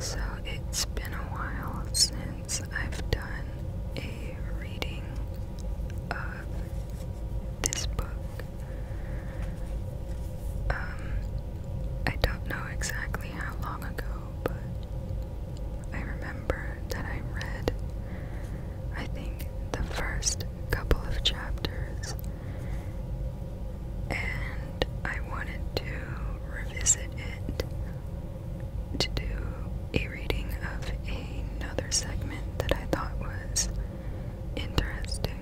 So it's been a while since I've done a reading of this book. Um, I don't know exactly how long ago, but I remember that I read, I think, the first couple of chapters and I wanted to revisit it to do a reading of another segment that I thought was interesting.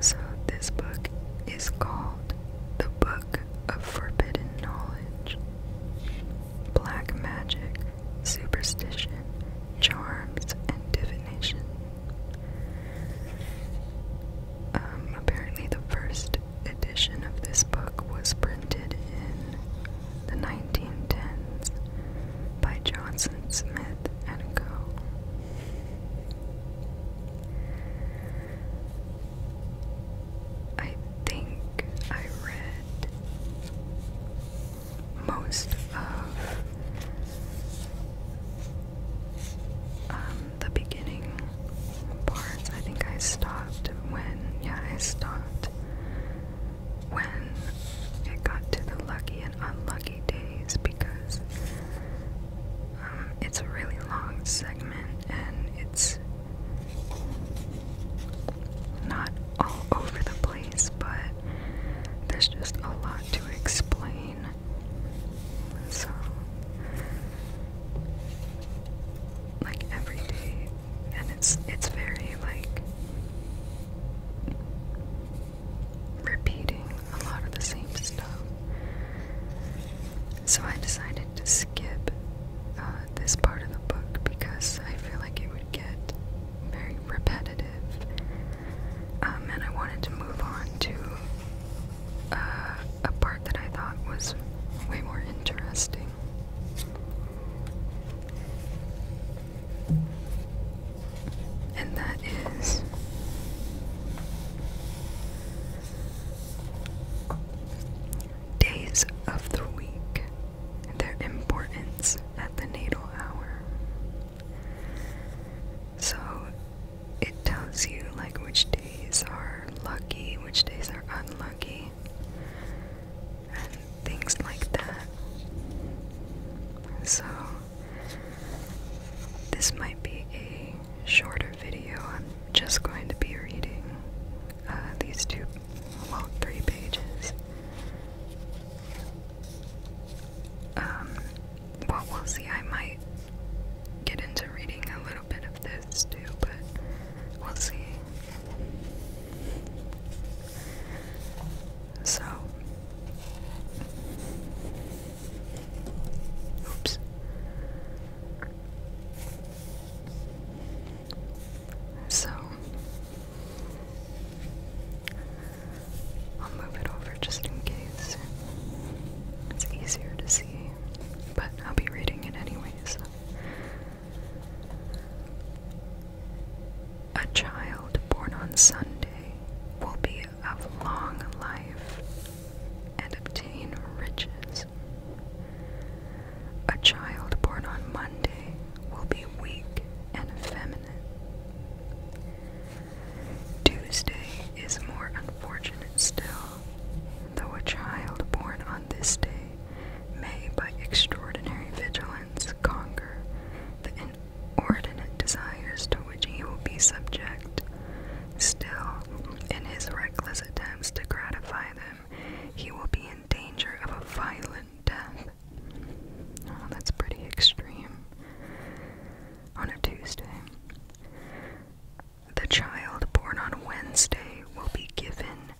So, this book is called The Book of Forbidden Knowledge Black Magic superstition, charms, and divination. Um, apparently, the first edition of this book was printed in the 1910s by Johnson Smith and Co. I think I read most of um, the beginning parts. I think I stopped when, yeah, I stopped when it got to the lucky and unlucky days because um, it's a really long segment and it's not all over the place, but there's just a lot to explain. So, like every day, and it's it's very like repeating a lot of the same stuff. So I decided to skip uh, this part of the book because I feel like it would get very repetitive. Um, and I wanted to move on to uh, a part that I thought was way more interesting. And that is days of the week their importance at the natal hour. So it tells you like which days are lucky, which days are unlucky, and things like that. So this might be a shorter video. I'm just going to be reading uh, these two, well, three pages. Um, well, we'll see. I might get into reading a little bit of this too, but we'll see. So, oops. So I'll move it over just in case it's easier to see, but I'll be reading it anyways. A child born on Sunday will be of long life and obtain riches. A child born on Monday will be weak and effeminate. Tuesday is more unfortunate still, though a child born on this day may, by extraordinary vigilance, conquer the inordinate desires to which he will be subject. Still, in his reckless attempts to gratify them, he will be in danger of a violent death. Oh, that's pretty extreme. On a Tuesday. The child born on Wednesday will be given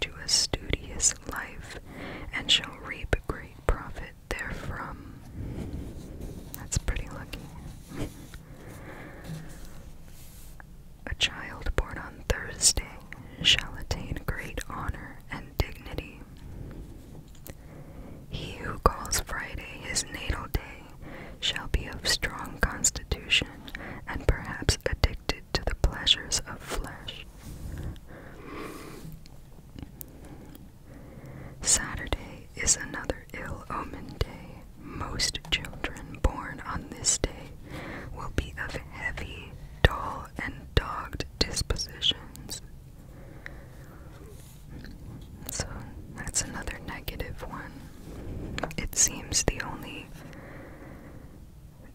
to a studious life and shall reap great profit therefrom. That's pretty lucky. A child born on Thursday shall attain great honor and dignity. He who calls Friday his natal day shall be of strong constitution and perhaps addicted to the pleasures of flesh. Saturday is another ill omen day. Most children born on this day will be of heavy dull and dogged dispositions. So that's another negative one. It seems the only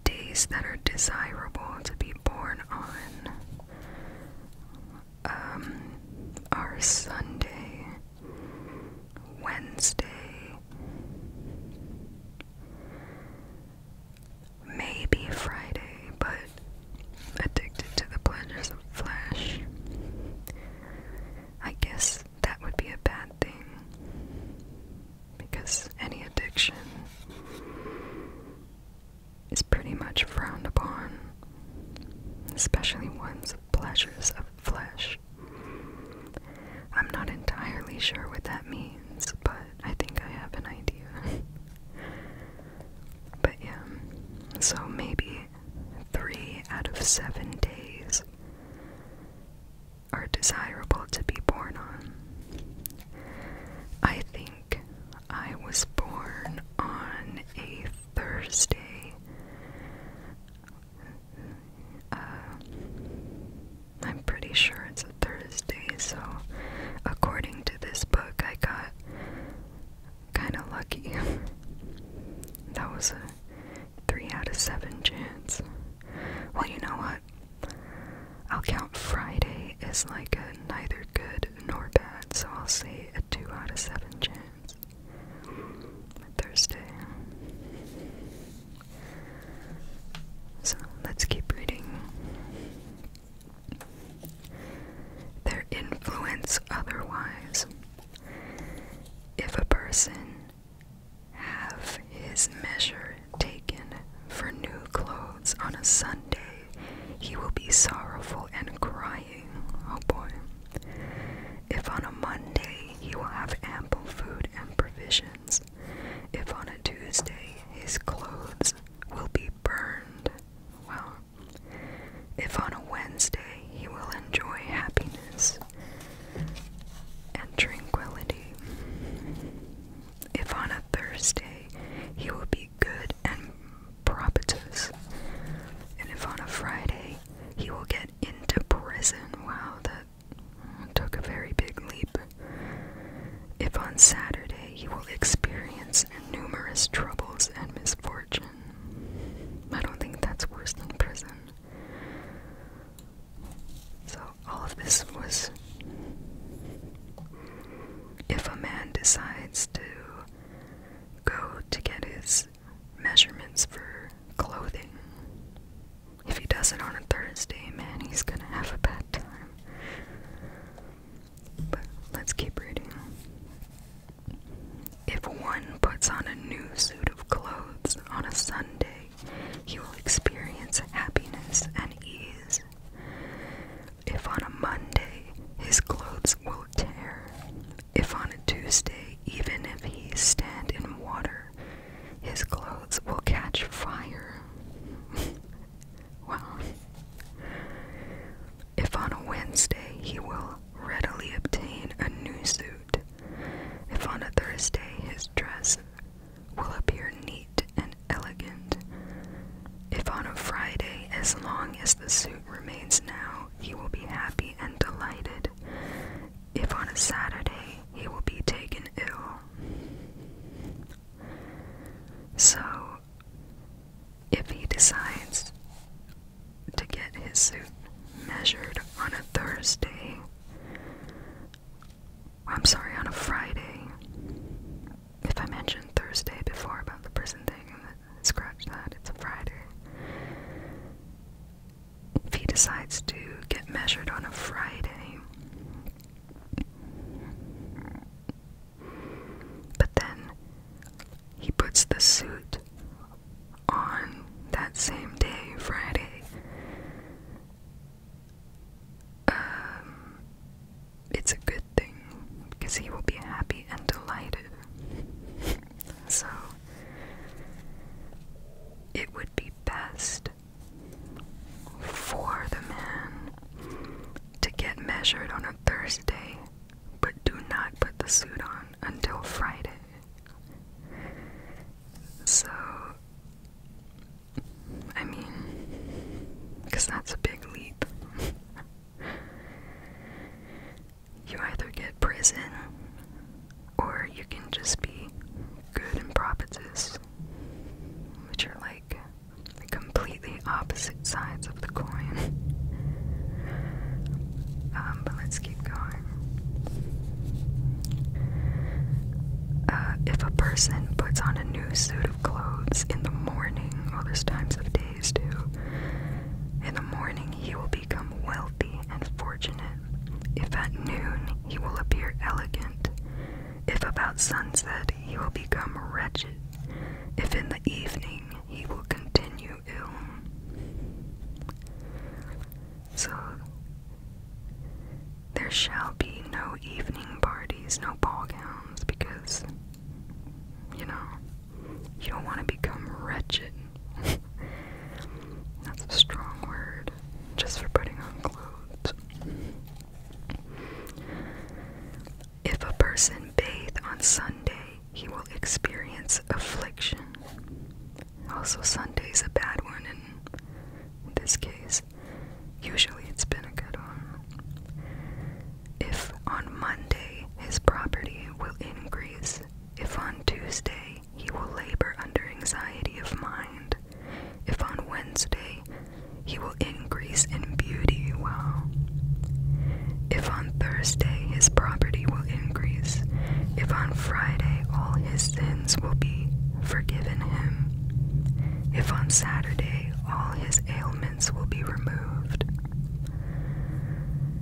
days that are desirable to be born on um, are Sunday, Wednesday, Maybe Friday, but addicted to the pleasures of flesh. I guess that would be a bad thing. Because any addiction is pretty much frowned upon, especially one's of pleasures of flesh. I'm not entirely sure what that means, but I think I have an idea. but yeah, so maybe three out of seven days are desirable to be born on. I think I was born on a Thursday uh, I'm pretty sure it's a Thursday, so according to this book, I got kind of lucky. that was a 3 out of 7 chance. Well, you know what? I'll count Friday as like a neither good nor bad, so I'll say a 2 out of 7 chance. Thursday. So let's keep reading. Their influence otherwise. If a person have his measure taken for new clothes on a Sunday, he will be sorrowful and crying, oh boy. If on a Monday he will have ample food and provisions, if on a Tuesday, his clothes will be burned. Well, if on a Wednesday, he will enjoy happiness and tranquility. If on a Thursday, he will be good and propitious. And if on a Friday, he will get into prison. Wow, took a very big leap. If on Saturday you will experience numerous troubles and misfortune, I don't think that's worse than prison. So, all of this was if a man decides to go to get his measurements for clothing, if he does it on a Thursday, man, he's gonna have a bad time. But let's keep reading. If one puts on a new suit of clothes on a Sunday, he will experience happiness and ease. If on a Monday, his clothes will tear. If on a Tuesday, even if he stand in water, his clothes will catch fire. wow. If on a Wednesday he will readily obtain a new suit, if on a Thursday his dress will appear neat and elegant, if on a Friday, as long as the suit remains now, he will be happy and delighted, if on a Saturday he will be taken ill. So, if he decides to get his suit measured on a Thursday, I'm sorry, on a Friday, if I mentioned Thursday before about the prison thing, scratch that, it's a Friday. If he decides to get measured on a Friday. But then he puts the suit on that same day, Friday. Um, it's a good thing because he will be happy and delighted. So it would be best for the man to get measured on a Thursday, but do not put the suit on until Friday. So, I mean, because that's a big leap. you either get prison or you can just be good and prophetess, which are like the completely opposite sides of the coin. Um, but let's keep going. Uh, if a person puts on a new suit of clothes in the morning, well, there's times of days too, in the morning he will be become wealthy and fortunate. If at noon, he will appear elegant. If about sunset, he will become wretched. If in the evening, he will continue ill. So, there shall be no evening parties, no ball gowns, because, you know, you don't want to become wretched. That's a strong word just for putting on clothes. If a person bathe on Sunday, he will experience affliction. Also, Sunday is a bad one in this case. Usually, it's been a good one. If on Monday his property will increase, if on Tuesday he will labor under anxiety of mind. If on Wednesday, he will increase in beauty, well. If on Thursday, his property will increase. If on Friday, all his sins will be forgiven him. If on Saturday, all his ailments will be removed.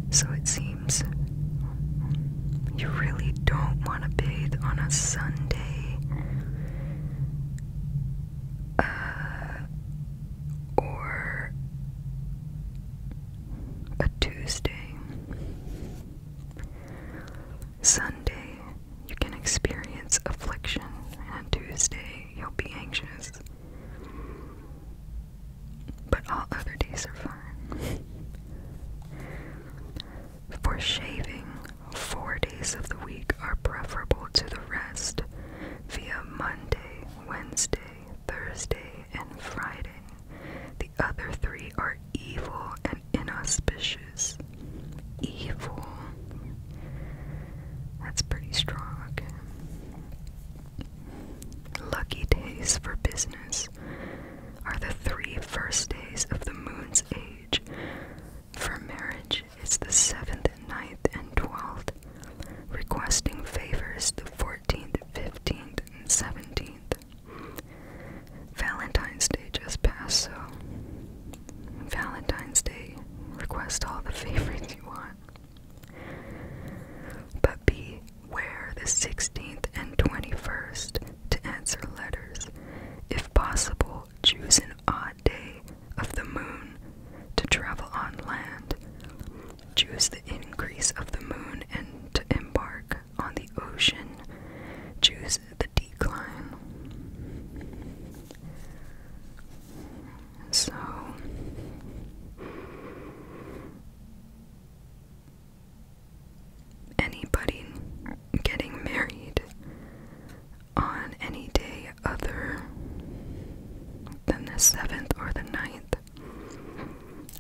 So it seems you really don't want to bathe on a Sunday. Uh, or a Tuesday. Sunday, you can experience affliction, and on Tuesday, you'll be anxious but all other days are fine. For shaving, four days of the week are preferable to the rest via Monday, Wednesday, Thursday, and Friday. The other three are evil and inauspicious. Evil. That's pretty strong. Lucky days for business are the three first days of the moon's age. For marriage, it's the seventh, ninth, and twelfth. Requesting favors, the fourteenth, fifteenth, and seventeenth. Valentine's Day just passed, so Valentine's Day, request all the favors you want. But be. Wear the 16th and 21st to answer letters. If possible, choose an odd day of the moon to travel on land. Choose the increase of the moon and to embark on the ocean. Choose the decline. So anybody getting married on any day other than the seventh or the ninth.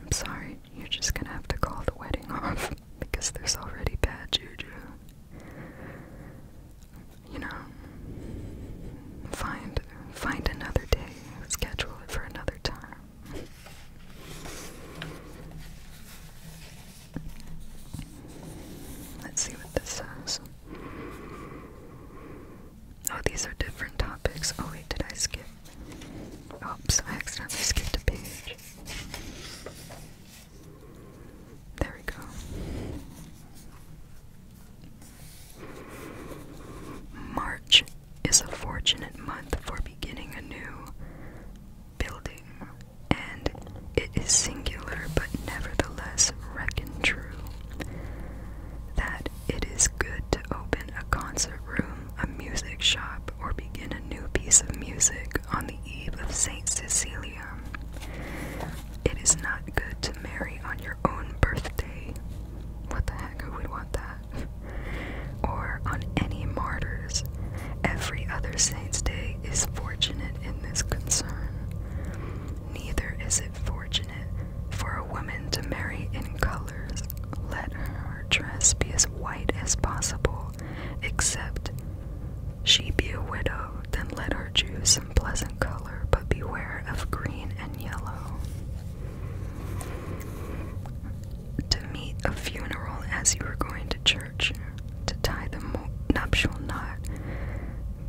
I'm sorry, you're just gonna have to call the wedding off because there's already bad juju. You know, find find another day, schedule it for another time. Let's see what this says. Oh, these are different topics. Oh, wait, did I skip? Oops, I accidentally skipped a page. There we go. March is a fortunate month for beginning a new building, and it is singular but nevertheless reckon true that it is good to open a concert room, a music shop, or begin a new piece of music on the eve of St. Cecilia. It is not good to marry on your own birthday. What the heck, who would want that? or on any martyrs. Every other saint's day is fortunate in this concern. Neither is it fortunate for a woman to marry in colors. Let her dress be as white as possible, except she be a widow, then let her choose some pleasant color, but beware of green and yellow to meet a funeral as you were going to church, to tie the nuptial knot,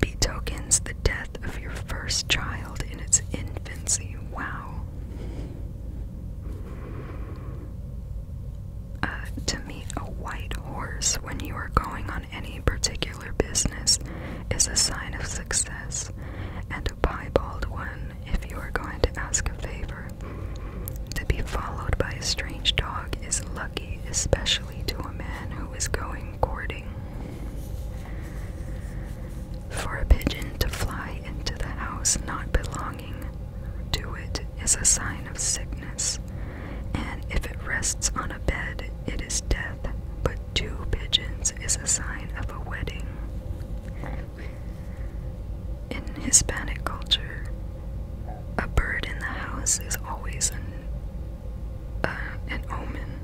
betokens the death of your first child in its infancy. Wow. Uh, to meet a white horse when you are going on any particular business is a sign of success, and and piebald one if you are going to ask a favor. To be followed by a strange dog is lucky, especially to a man who is going courting. For a pigeon to fly into the house not belonging to it is a sign of sickness, and if it rests on a bed, it is death. But two pigeons is a sign of a wedding. In Hispanic culture, a bird in the house is always an uh, an omen,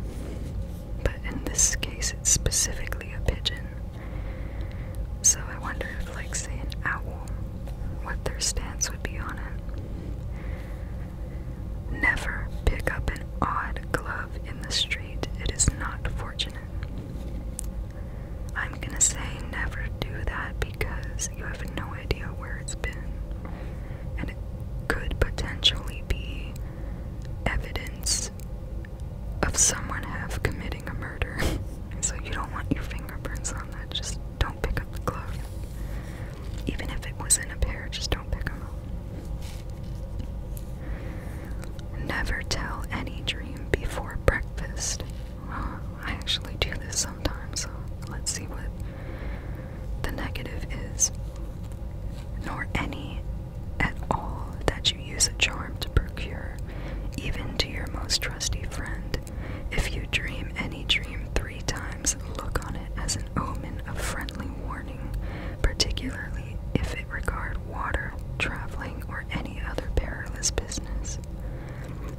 but in this case, it's specifically a pigeon. So I wonder if, like, say, an owl, what their stance would be on it. Never pick up an odd glove in the street. It is not for I'm gonna say never do that because you have no idea where it's been, and it could potentially be evidence of someone have committing a murder. so you don't want your fingerprints on that. Just don't pick up the glove, even if it was in a pair. Just don't pick them up. Never tell any dream before breakfast. I actually do this sometimes, so let's see what the negative is. Nor any at all that you use a charm to procure, even to your most trusty friend. If you dream any dream three times, look on it as an omen of friendly warning, particularly if it regard water, traveling, or any other perilous business.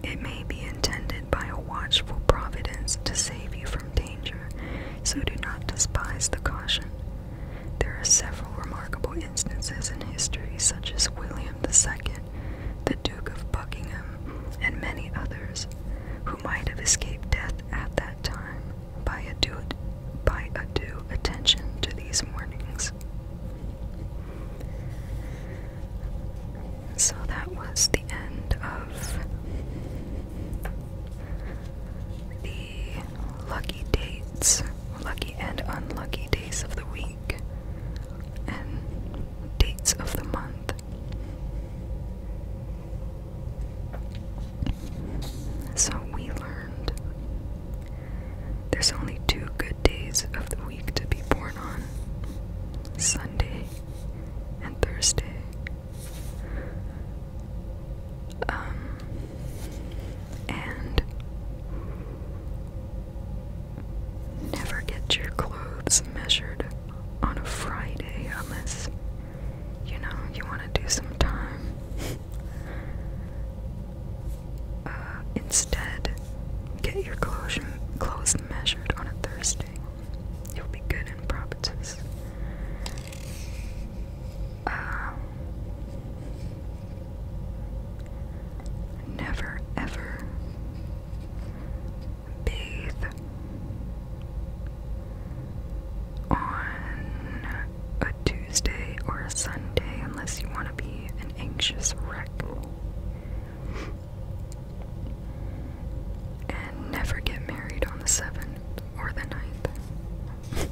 It may be intended by a watchful providence to save you from danger, so do not despise the caution. There are several remarkable instances in history, such as William II, the Duke of Buckingham, and many others, who might have escaped death at that time by a due, by a due attention to these mornings. So that was the end of the lucky dates, lucky and unlucky days of the week, and dates of the month. So we learned there's only two good days of the week to be born on Sunday and Thursday. Um, and never get your clothes measured on a Friday unless you know, you want to do some time. Uh, instead, get your clothes, clothes measured on a Thursday. You'll be good in properties. Um, never ever bathe on a Tuesday or a Sunday unless you want to be an anxious wreck. And never get married on the 7th or the ninth.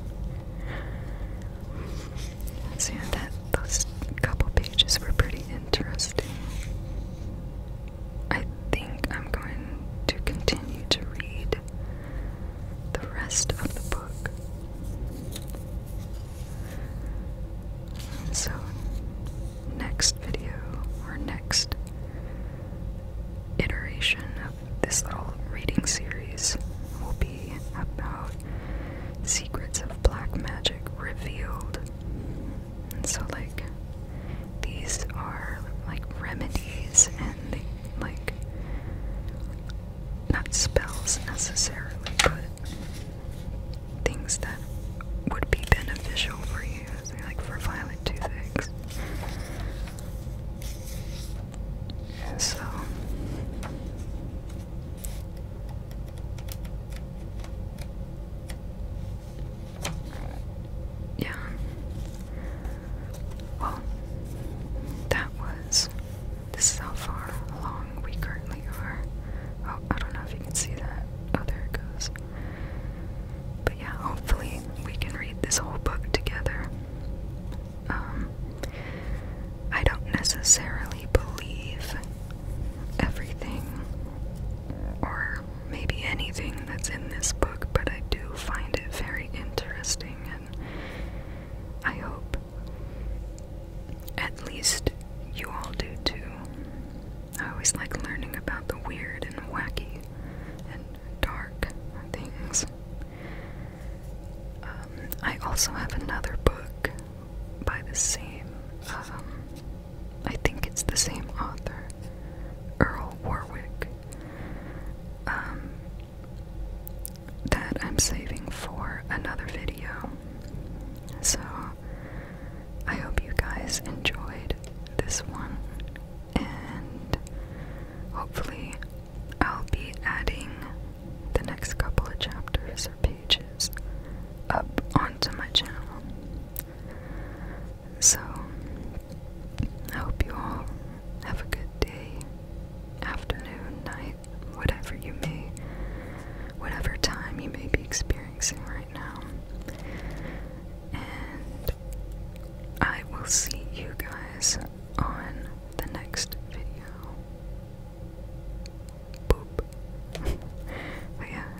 so, yeah, that, those couple pages were pretty interesting. I think I'm going to continue to read the rest of the book. so, next video or next iteration of this little reading series will be about secrets of black magic revealed. And so, like, these are like remedies and like, not spells necessarily, but things that would be beneficial for you, like for violent toothaches. So. Yeah. Well, that was. This is how far along we currently are. Oh, I don't know if you can see that. Oh, there it goes. But yeah, hopefully we can read this whole book together. Um, I don't necessarily believe everything or maybe anything that's in this book, but I do find it very interesting. I hope at least you all do too. I always like learning about the weird and wacky and dark things. Um, I also have another book by the same, um, I think it's the same author, Earl Warwick, um, that I'm saving for another video. So I hope you guys enjoyed this one, and hopefully, I'll be adding the next couple of chapters or pages up onto my channel. So, I hope you all have a good day, afternoon, night, whatever you may, whatever time you may be experiencing right now. And I will see you guys on the next video. Boop. but yeah.